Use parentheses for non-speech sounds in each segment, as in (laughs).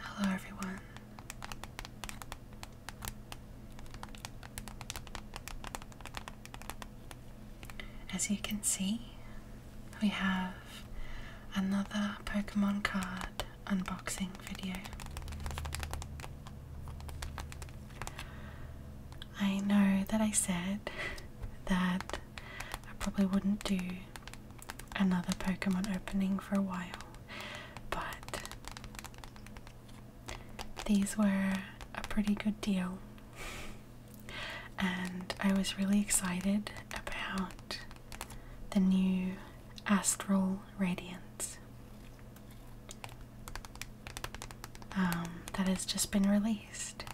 Hello, everyone. As you can see, we have another Pokemon card unboxing video. I know that I said (laughs) that I probably wouldn't do another Pokemon opening for a while, but these were a pretty good deal. and I was really excited about the new Astral Radiance um, that has just been released.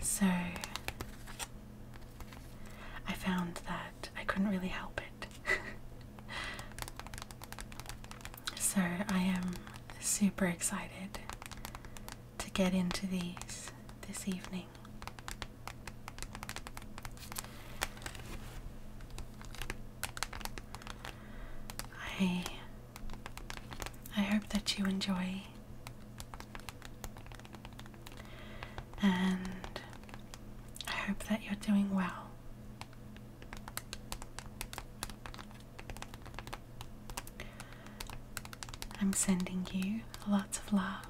So I found that I couldn't really help it. (laughs) so I am super excited to get into these this evening. I I hope that you enjoy and I hope that you're doing well. I'm sending you lots of love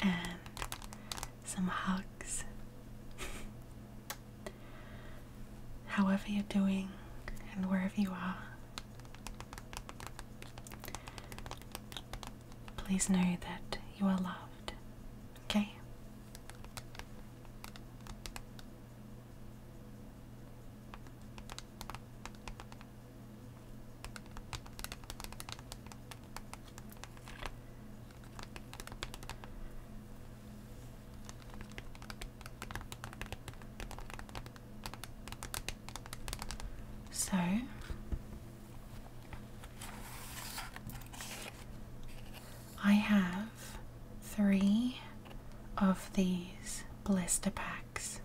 and some hugs. (laughs) However, you're doing and wherever you are, Please know that you are loved, okay? So I have three of these blister packs.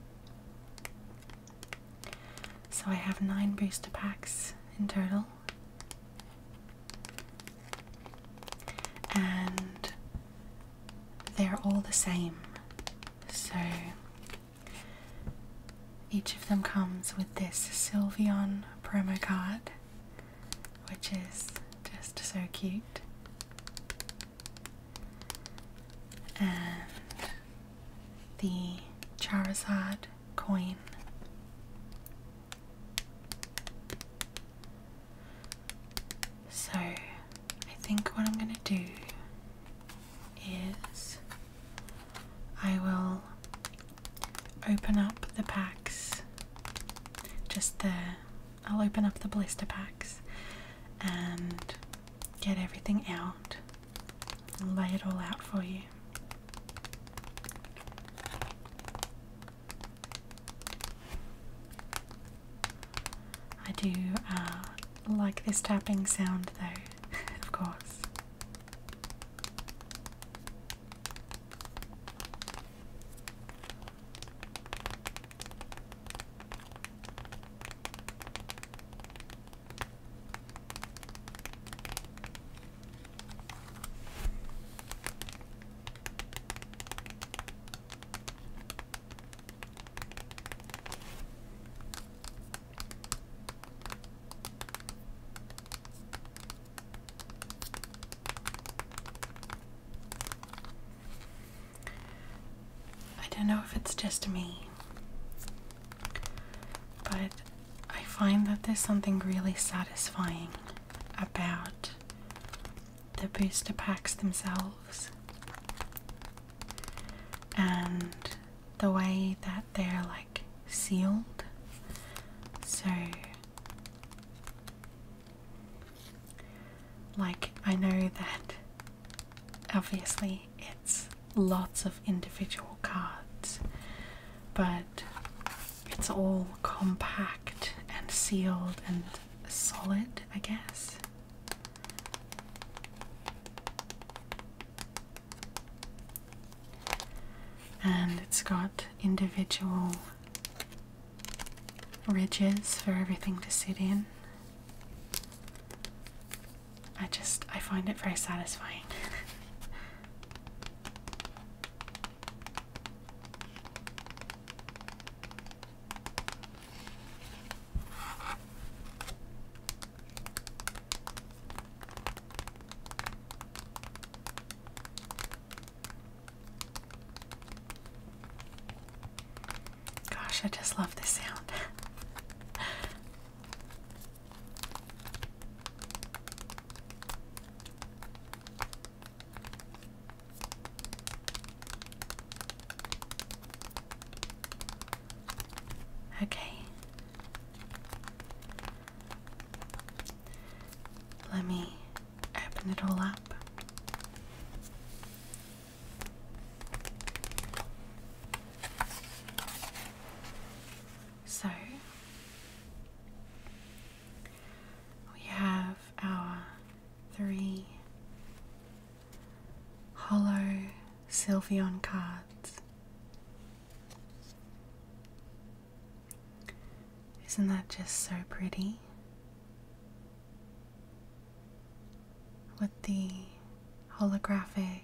So I have nine booster packs in total. And they're all the same. So each of them comes with this Sylveon promo card, which is just so cute. And the Charizard coin. So, I think what I'm going to do is I will open up the packs just there. I'll open up the blister packs and get everything out and lay it all out for you. I do uh, like this tapping sound, though, (laughs) of course. I don't know if it's just me, but I find that there's something really satisfying about the booster packs themselves and the way that they're like sealed. So, like, I know that obviously it's lots of individual cards, but it's all compact and sealed and solid, I guess. And it's got individual ridges for everything to sit in. I just, I find it very satisfying. Gosh, I just love this sound. Okay. Let me open it all up. So we have our three hollow Sylveon cards. Isn't that just so pretty? With the holographic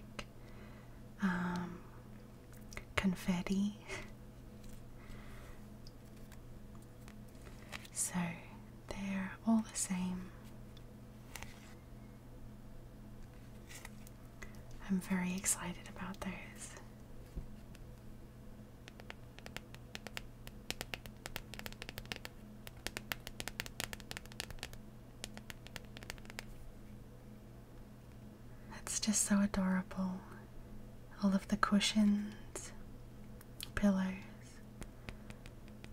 um, confetti. (laughs) so they're all the same. I'm very excited about those. It's just so adorable. All of the cushions, pillows,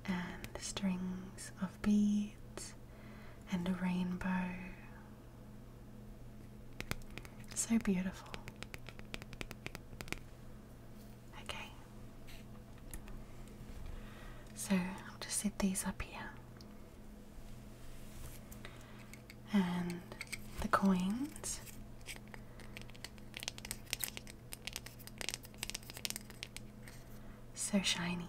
and strings of beads and a rainbow. So beautiful. Okay. So I'll just set these up here. And the coins. So shiny.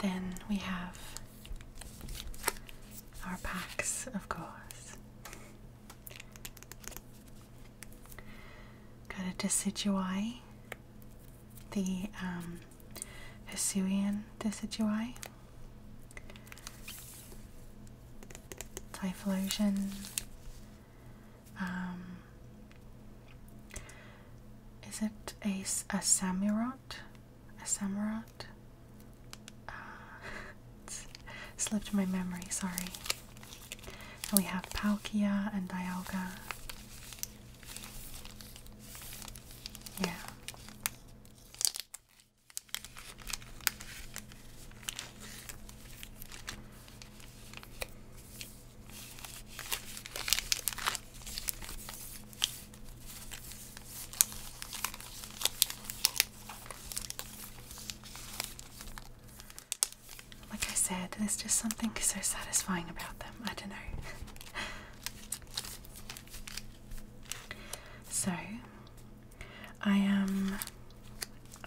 Then we have our packs, of course. Got a Decidui, the um, Hisuian Decidui, Typhlosion, um, is it a, a Samurott? A Samurott? Uh, (laughs) slipped my memory, sorry. And we have Palkia and Dialga. Yeah. Like I said, there's just something so satisfying about them. I don't know. (laughs) so I am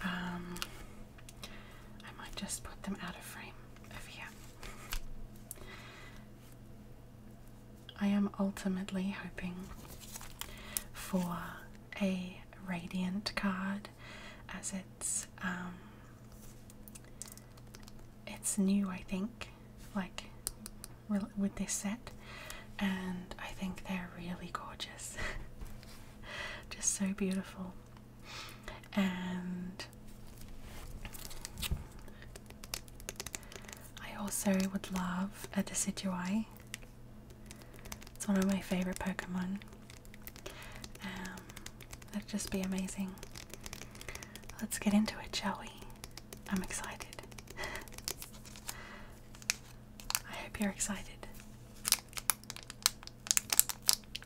um, I might just put them out of frame over here. I am ultimately hoping for a radiant card as it's um it's new I think like with this set and I think they're really gorgeous (laughs) just so beautiful and I also would love a Decidueye. It's one of my favorite Pokemon. Um, that'd just be amazing. Let's get into it, shall we? I'm excited. (laughs) I hope you're excited.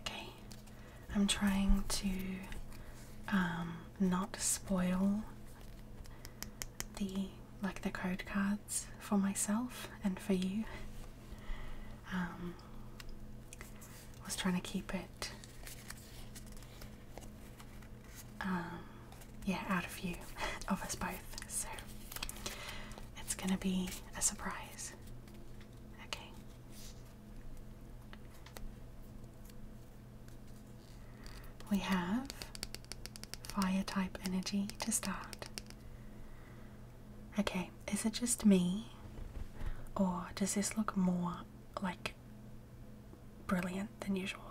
Okay, I'm trying to um, not spoil the like the code cards for myself and for you. I um, was trying to keep it, um, yeah, out of you, (laughs) of us both. So it's gonna be a surprise. Okay. We have fire type energy to start. Okay, is it just me? Or does this look more like brilliant than usual?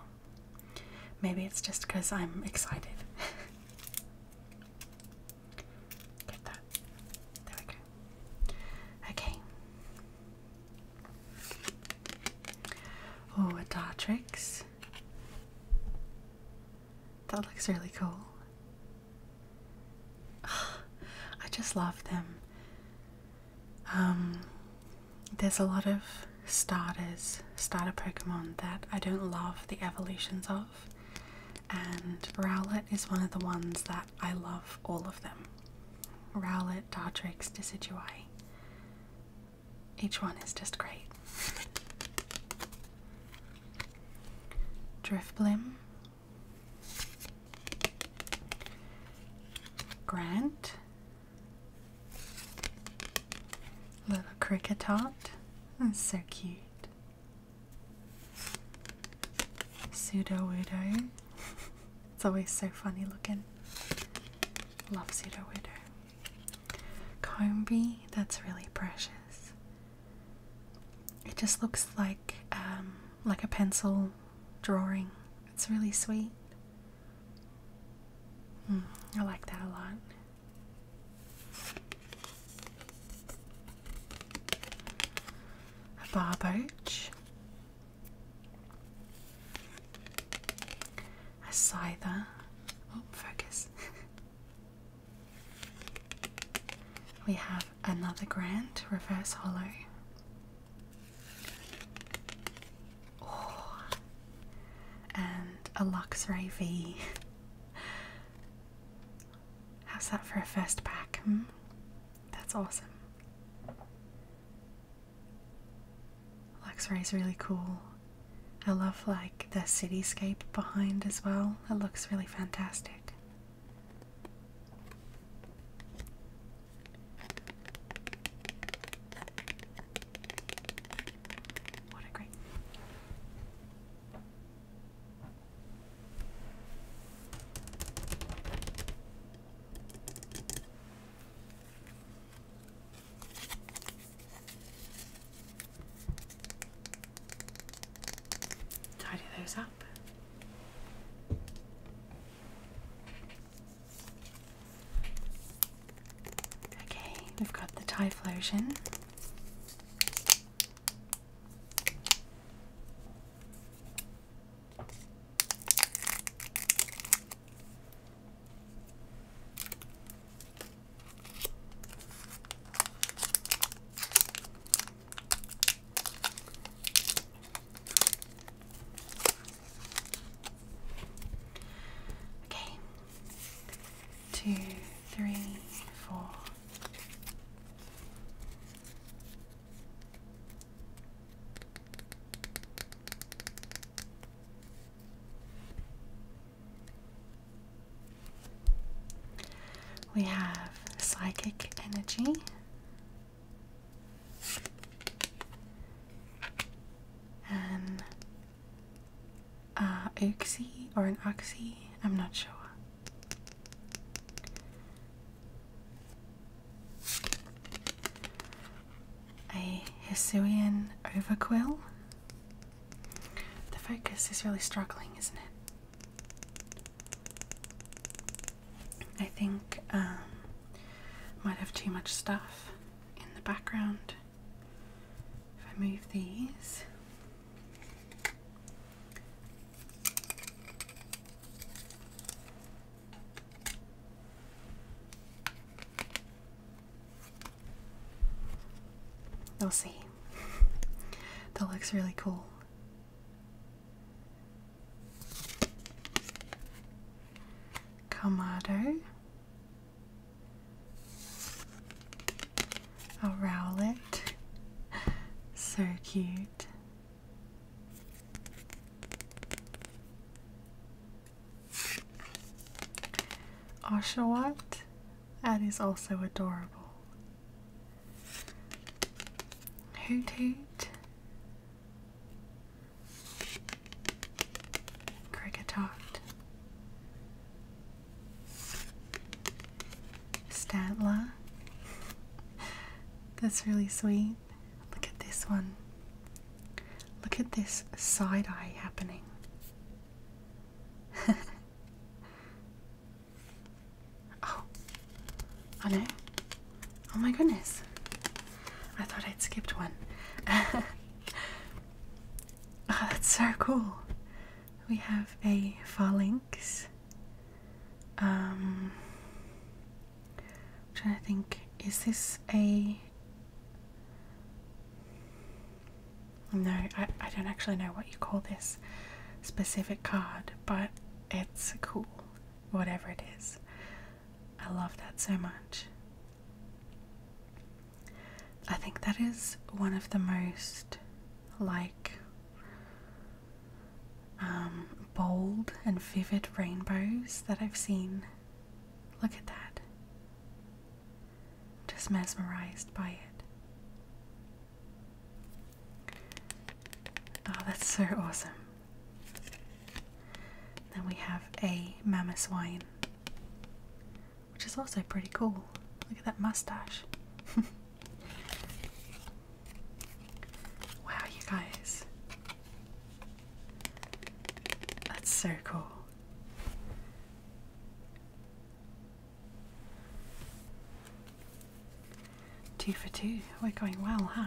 Maybe it's just because I'm excited. (laughs) Get that. There we go. Okay. Oh, a Dartrix. That looks really cool. (sighs) I just love them. Um, there's a lot of starters, starter Pokemon that I don't love the evolutions of and Rowlett is one of the ones that I love all of them. Rowlett, Dartrix, Decidui. Each one is just great. (laughs) Driftblim, Grant, Little Cricketot, that's so cute. Pseudo Udo. it's always so funny looking. Love Pseudo Udo. Combi, that's really precious. It just looks like um, like a pencil drawing. It's really sweet. Hmm, I like that a lot a barb oach, a scyther, oh focus, (laughs) we have another grand reverse hollow, oh, and a Luxray V. (laughs) How's that for a first pack? Hmm? That's awesome. Luxray is really cool. I love like the cityscape behind as well. It looks really fantastic. What a great Tidy those up. Okay, we've got the Typhlosion. Okay, two, three, four, we have psychic energy. An uh, oxy or an oxy, I'm not sure a Hissorian overquill. The focus is really struggling, isn't it? I think um, might have too much stuff in the background. If I move these, i will see. that looks really cool. Kamado a rowlet. So cute. Oshawott. That is also adorable. Hoot Hoot. Cricketot. Statla. That's really sweet. Look at this one. Look at this side eye happening. (laughs) oh, I know. Oh my goodness. I thought I'd skipped one. (laughs) oh, that's so cool. We have a phalanx um, i trying to think, is this a. No, I, I don't actually know what you call this specific card, but it's cool, whatever it is. I love that so much. I think that is one of the most like um, bold and vivid rainbows that I've seen. Look at that. I'm just mesmerized by it. Oh, that's so awesome. Then we have a Mammoth Wine, which is also pretty cool. Look at that mustache. (laughs) Wow, you guys. That's so cool. Two for two. We're going well, huh?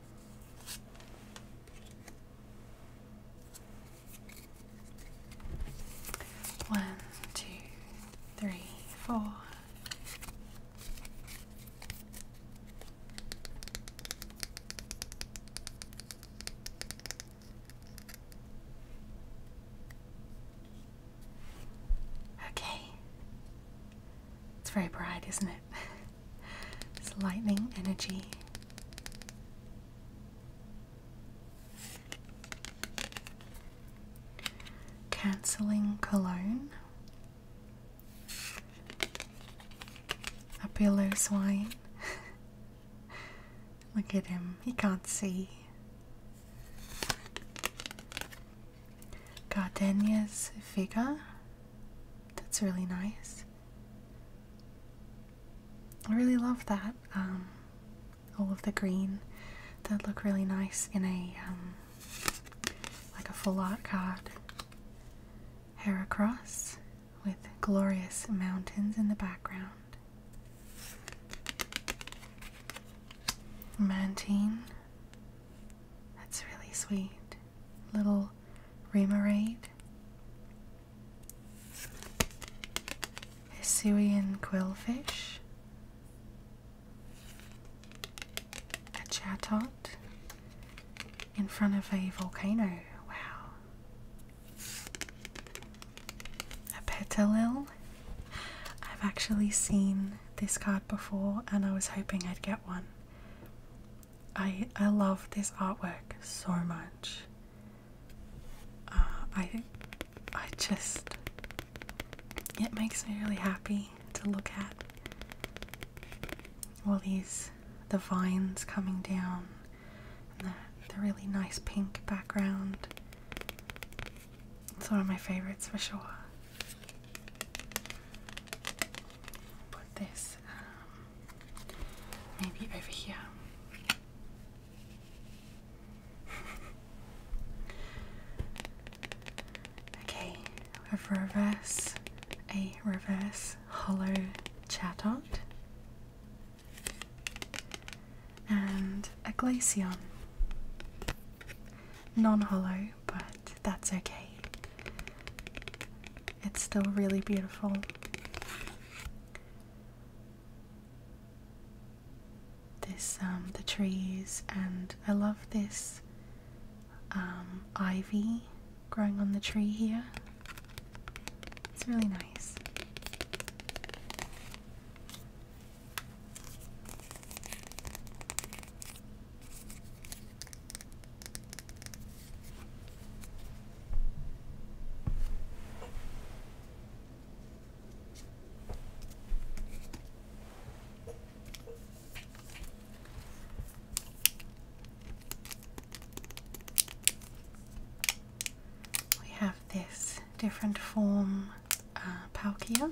One, two, three, four. Okay. It's very bright, isn't it? (laughs) It's lightning energy. Cancelling cologne. A billows wine. (laughs) Look at him, he can't see. Gardenia's figure. That's really nice. I really love that. Um, all of the green that look really nice in a um, like a full art card. Heracross with glorious mountains in the background. Mantine. That's really sweet little remoraid, a Hisuian quillfish, a chatot in front of a volcano. Wow. A petalil. I've actually seen this card before and I was hoping I'd get one. I I love this artwork so much. Uh, I I just it makes me really happy to look at all these the vines coming down and the, the really nice pink background. It's one of my favorites for sure put this um, maybe over here. okay, a reverse, a reverse hollow Chatot and a Glaceon. Non hollow, but that's okay. It's still really beautiful. This, um, the trees, and I love this um, ivy growing on the tree here. It's really nice. We have this different form uh, Palkia.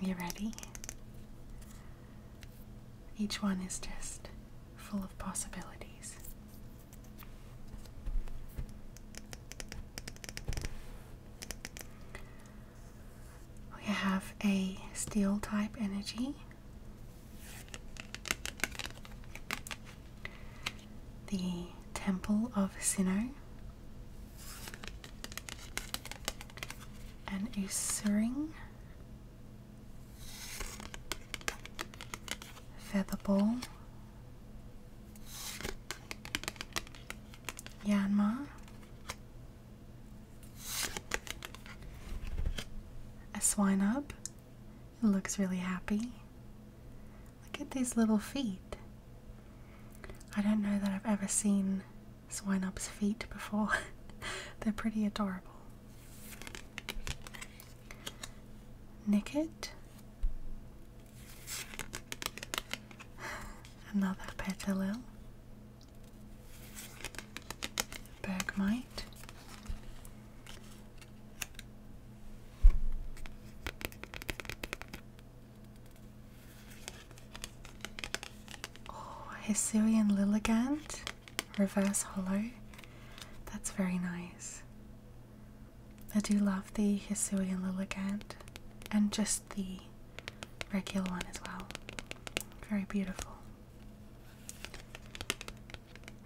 You ready? Each one is just full of possibilities. We have a steel type energy the Temple of Sino, an Usuring, Featherball, Yanmar, a Swinub. It looks really happy. Look at these little feet. I don't know that I've ever seen Swinub's feet before. (laughs) They're pretty adorable. Nicked. Another petalil. Bergmite. Oh, Hisuian Reverse Hollow. That's very nice. I do love the Hisuian Lilligant and just the regular one as well. Very beautiful.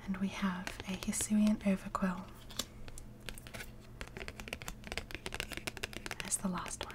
And we have a Hisuian Overquill. That's the last one.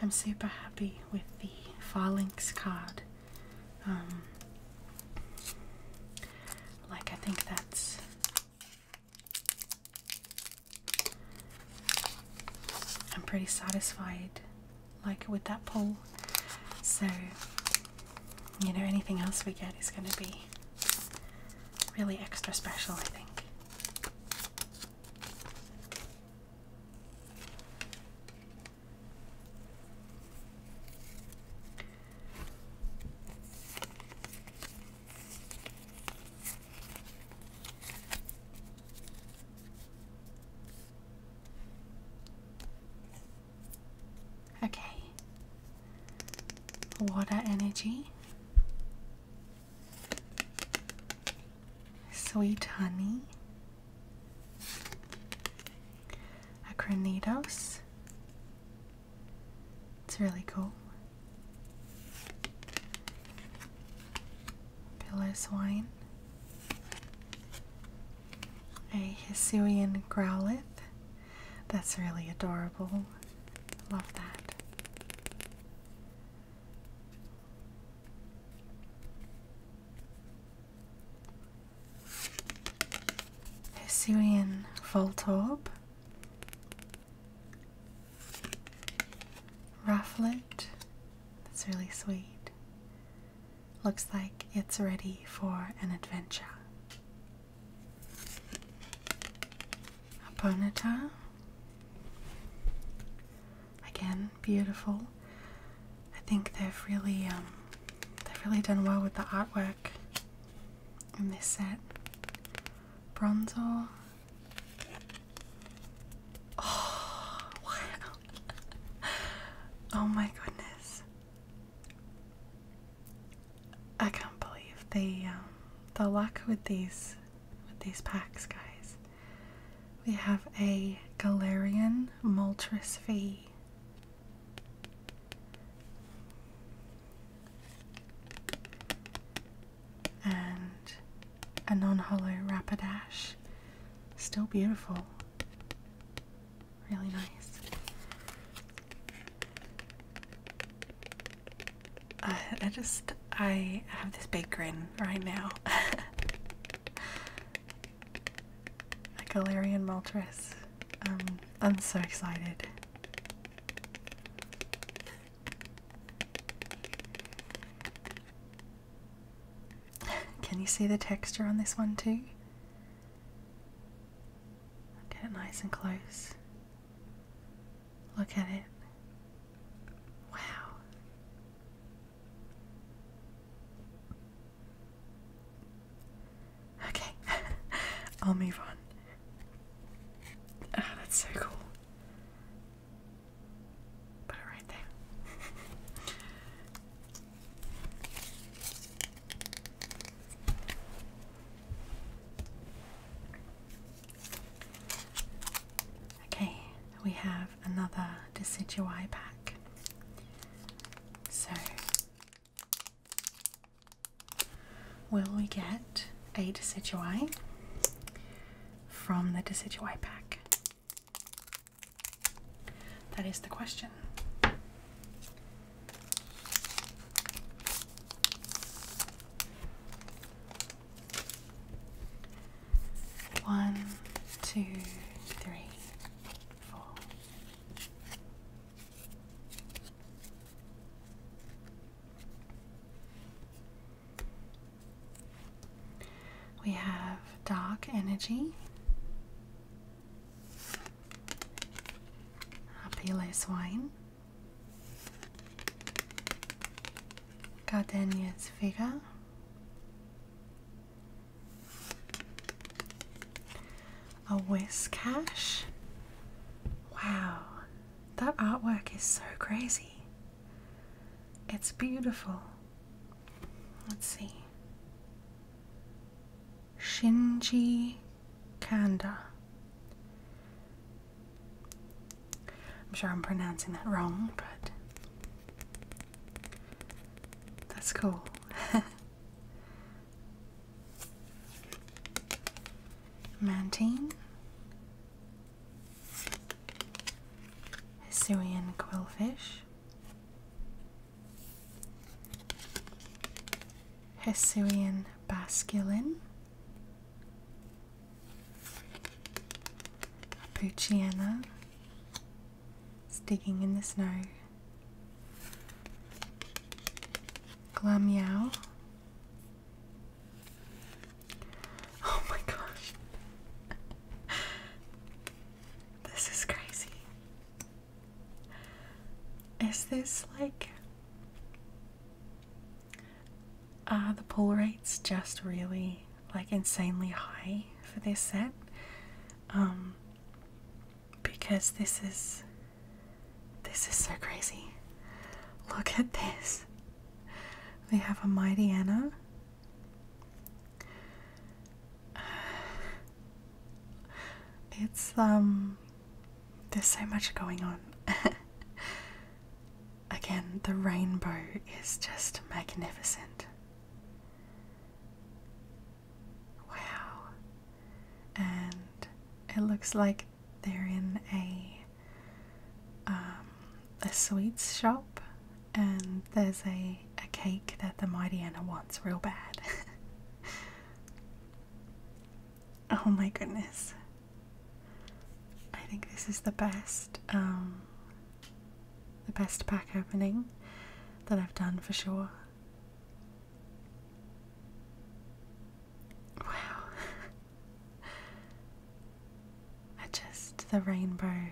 I'm super happy with the Farlinks card. Um, like, I think that's I'm pretty satisfied like with that pull. So you know anything else we get is gonna be really extra special I think. Okay. Water energy. Sweet honey. Acronidos. It's really cool. Pillis wine, a Hisuian growlith. That's really adorable. Love that. Hisuian Voltorb, rufflet. That's really sweet. Looks like it's ready for an adventure. Bonita. Again, beautiful. I think they've really um, they've really done well with the artwork in this set. Bronzor, Oh, (laughs) (laughs) oh my goodness. I can't believe the um, the luck with these with these packs, guys. We have a Galarian Moltres Fee and a non-hollow rapidash. Still beautiful. Really nice. Uh, I just, I have this big grin right now. (laughs) A Galarian Moltres. Um, I'm so excited. (laughs) Can you see the texture on this one too? Get it nice and close. Look at it. Wow. Okay, (laughs) I'll move on. Oh, that's so cool. Put it right there. okay, we have another Decidueye pack. So, will we get a Decidueye? from the decidui pack? That is the question. One, two, three, four. We have Dark Energy, Apile Swine, Gardenia's Figure, a Whiskash. Wow, that artwork is so crazy. It's beautiful. Let's see. Shinji Kanda. I'm sure I'm pronouncing that wrong, but that's cool. (laughs) Mantine Assyrian quillfish, Assyrian basculin, Apuchiana is digging in the snow, Glamyao Oh my gosh. this is crazy. Is this like are the pull rates just really like insanely high for this set? Um because this is this is so crazy. Look at this we have a mighty Anna. It's, um, there's so much going on. (laughs) Again, the rainbow is just magnificent. Wow. And it looks like they're in a um, a sweets shop, and there's a, a cake that the Mighty Anna wants real bad. (laughs) oh my goodness. I think this is the best, um, the best pack opening that I've done for sure. Wow. (laughs) I just the rainbow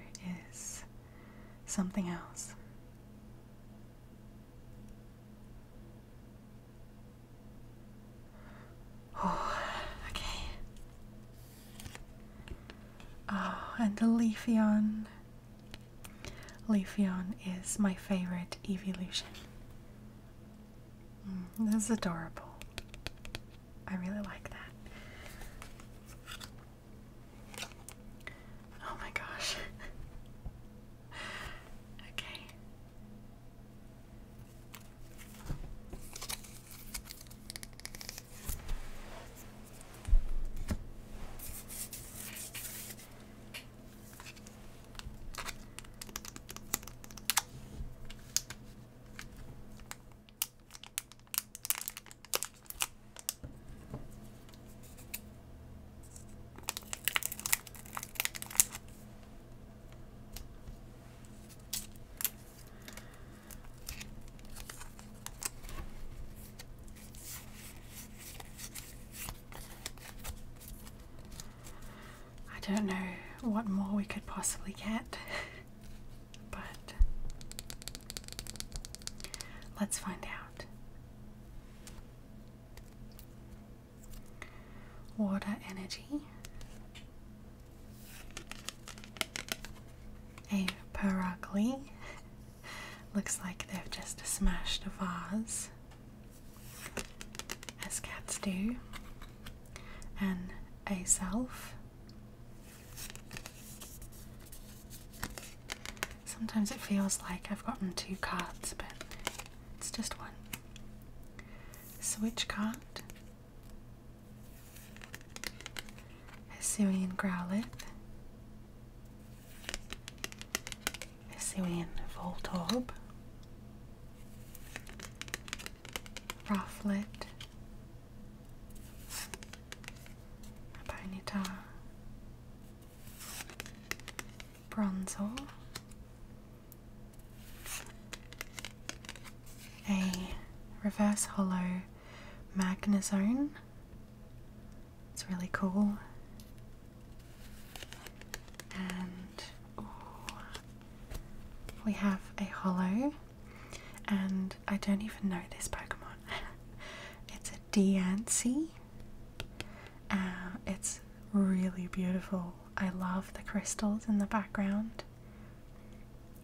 is something else. Oh, okay. Oh, and the Leafion. Leafion is my favorite evolution. Mm, this is adorable. I really like that. Oh my gosh. (laughs) okay. I don't know what more we could possibly get. (laughs) But let's find out. Water energy. A Perugly. (laughs) Looks like they've just smashed a vase, as cats do. And a self. Sometimes it feels like I've gotten two cards, but it's just one. Switch card. Hisuian Growlithe. Hisuian Voltorb. Rufflet. Ponyta Bronzor a reverse hollow magnazone. It's really cool. And we have a hollow and I don't even know this Pokemon. (laughs) it's a Deancey. Uh, it's really beautiful. I love the crystals in the background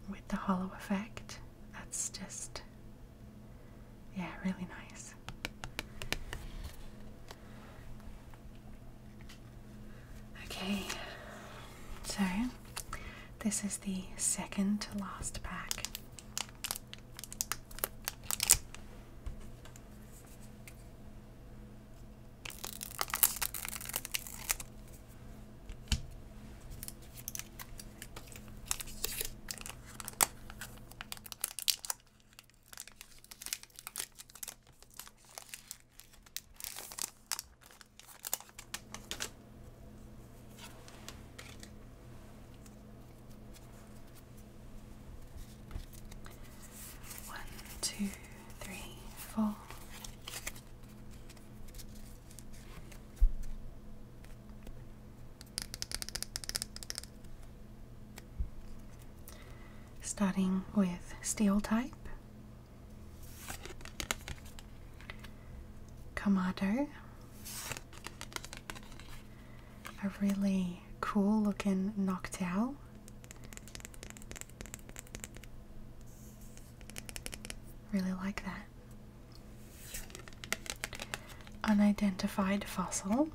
with the hollow effect. That's just, yeah, really nice. Okay, so this is the second to last pack. One, two, three, four. Starting with steel type, Kamado. A really cool looking Noctowl. Really like that. Unidentified fossil.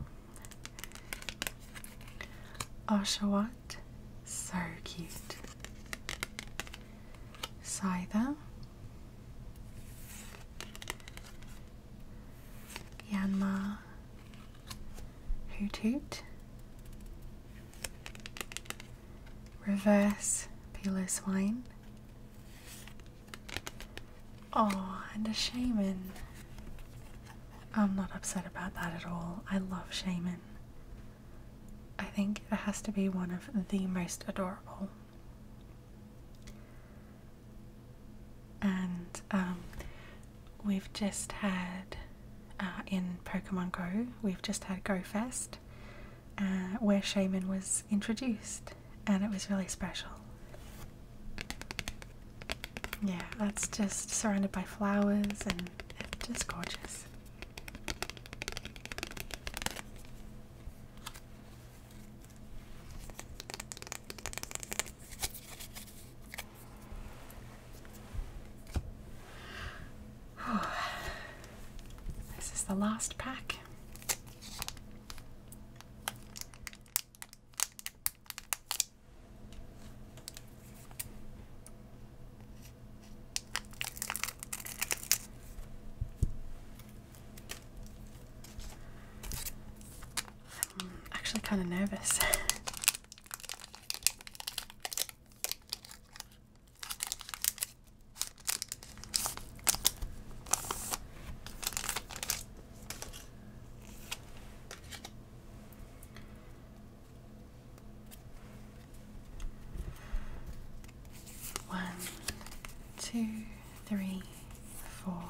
Oshawott. So cute. Scyther, Yanma, Hoot Hoot, Reverse Pilo Swine. Oh, and a shaman. I'm not upset about that at all. I love shaman. I think it has to be one of the most adorable. And um, we've just had uh, in Pokemon Go, we've just had Go Fest, uh, where Shaman was introduced, and it was really special. Yeah, that's just surrounded by flowers and it's just gorgeous. (sighs) This is the last pack. I'm actually kind of nervous. One, two, three, four.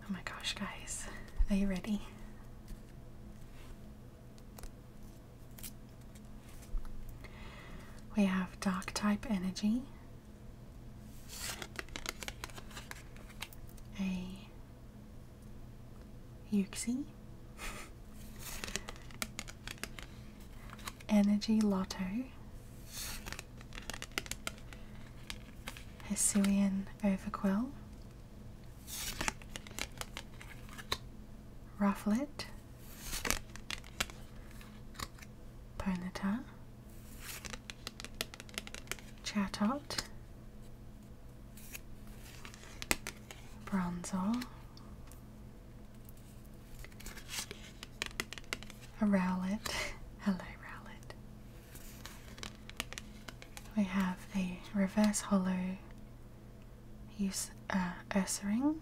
Oh my gosh, guys, are you ready? We have dark type energy, a you Energy Lotto, Hisuian Overkill, Rufflet, Ponyta, Chatot, bronzer, a rowlet. (laughs) Hello, rowlet. We have a reverse hollow use uh, Ursa ring.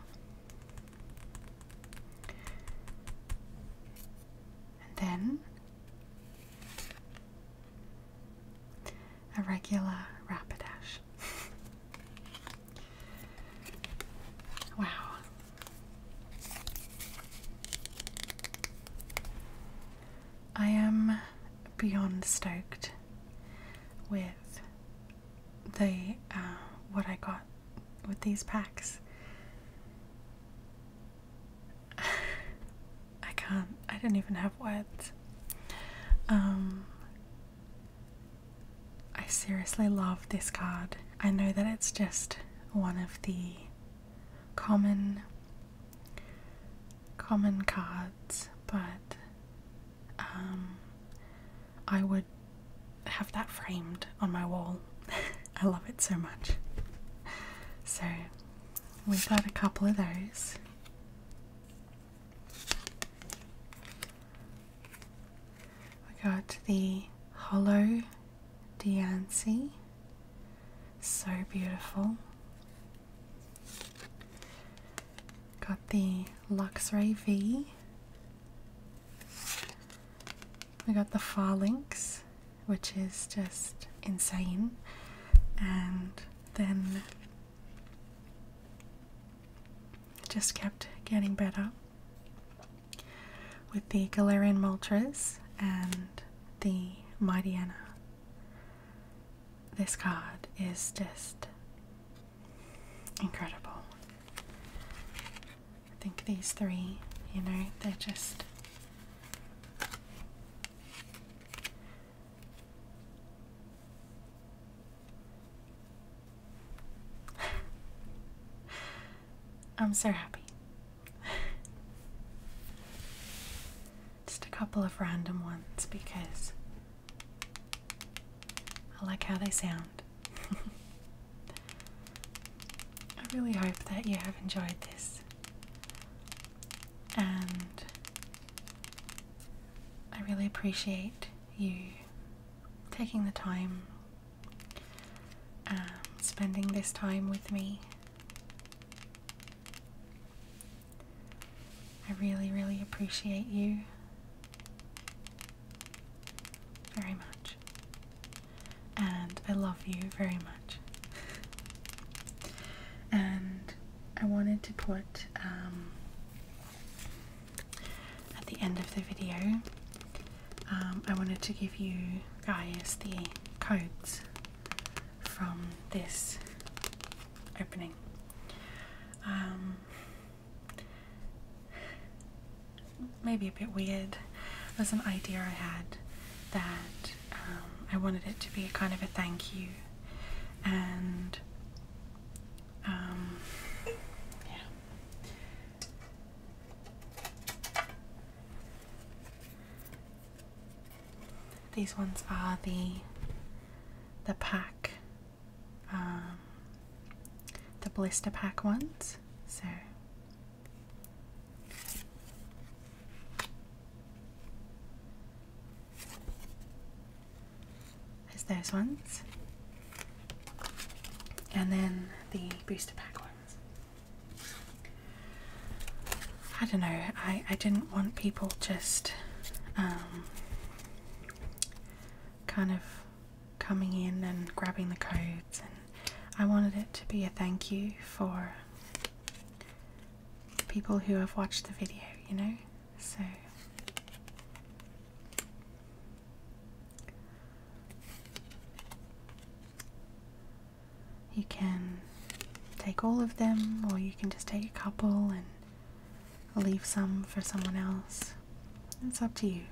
And then a regular rapidash. wow. I am beyond stoked with the uh, what I got with these packs. (sighs) I can't. I don't even have words. Um, I seriously love this card. I know that it's just one of the common common cards, but um, I would have that framed on my wall. (laughs) I love it so much. So we've got a couple of those. We got the Hollow Dancy, so beautiful. Got the Luxray V. We got the Farlinx, which is just insane. And then just kept getting better with the Galarian Moltres and the Mighty This card is just incredible. I think these three, you know, they're just I'm so happy. Just a couple of random ones because I like how they sound. (laughs) I really hope that you have enjoyed this and I really appreciate you taking the time, um, spending this time with me. I really, really appreciate you very much. And I love you very much. (laughs) and I wanted to put um, at the end of the video, um, I wanted to give you guys the codes from this opening. Um, maybe a bit weird was an idea I had that I wanted it to be a kind of a thank you and um, yeah. These ones are the the pack, um, the blister pack ones. So. There's those ones. And then the booster pack ones. I don't know, I, I didn't want people just um, kind of coming in and grabbing the codes and I wanted it to be a thank you for people who have watched the video, you know? So you can take all of them, or you can just take a couple and leave some for someone else. It's up to you.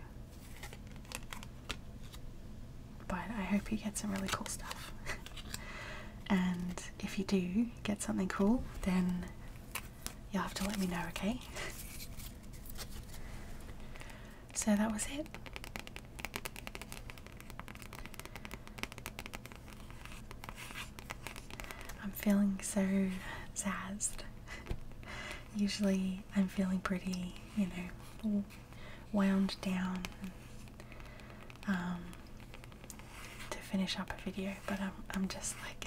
But I hope you get some really cool stuff. (laughs) and if you do get something cool, then You'll have to let me know, okay? so that was it. I'm feeling so zazzed. Usually I'm feeling pretty, you know, wound down, um, to finish up a video, but I'm, I'm just like,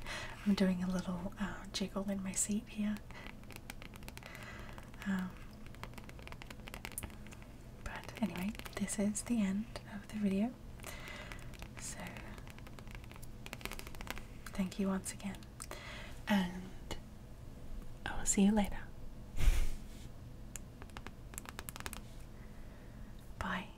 (laughs) I'm doing a little uh, jiggle in my seat here. Um, but anyway, this is the end of the video. So, thank you once again, and I will see you later. (laughs) Bye.